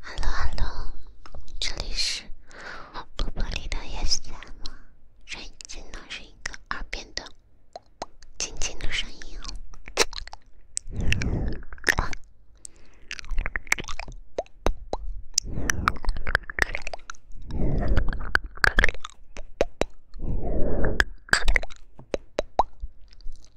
Hello Hello，这里是布布里的叶子酱，声音只能是一个耳边的、轻轻的声音哦。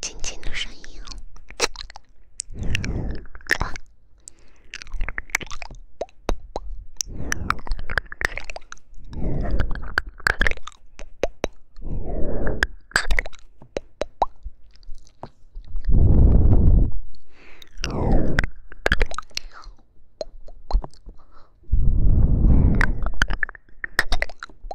轻轻的声音。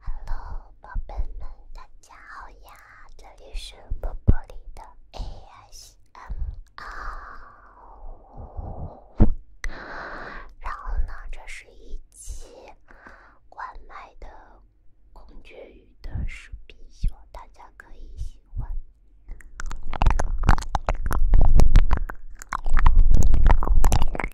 哈喽，宝贝们，大家好呀！这里是波波里的 A S M R，然后呢，这是一期关麦的孔雀鱼的视频，希望大家可以喜欢。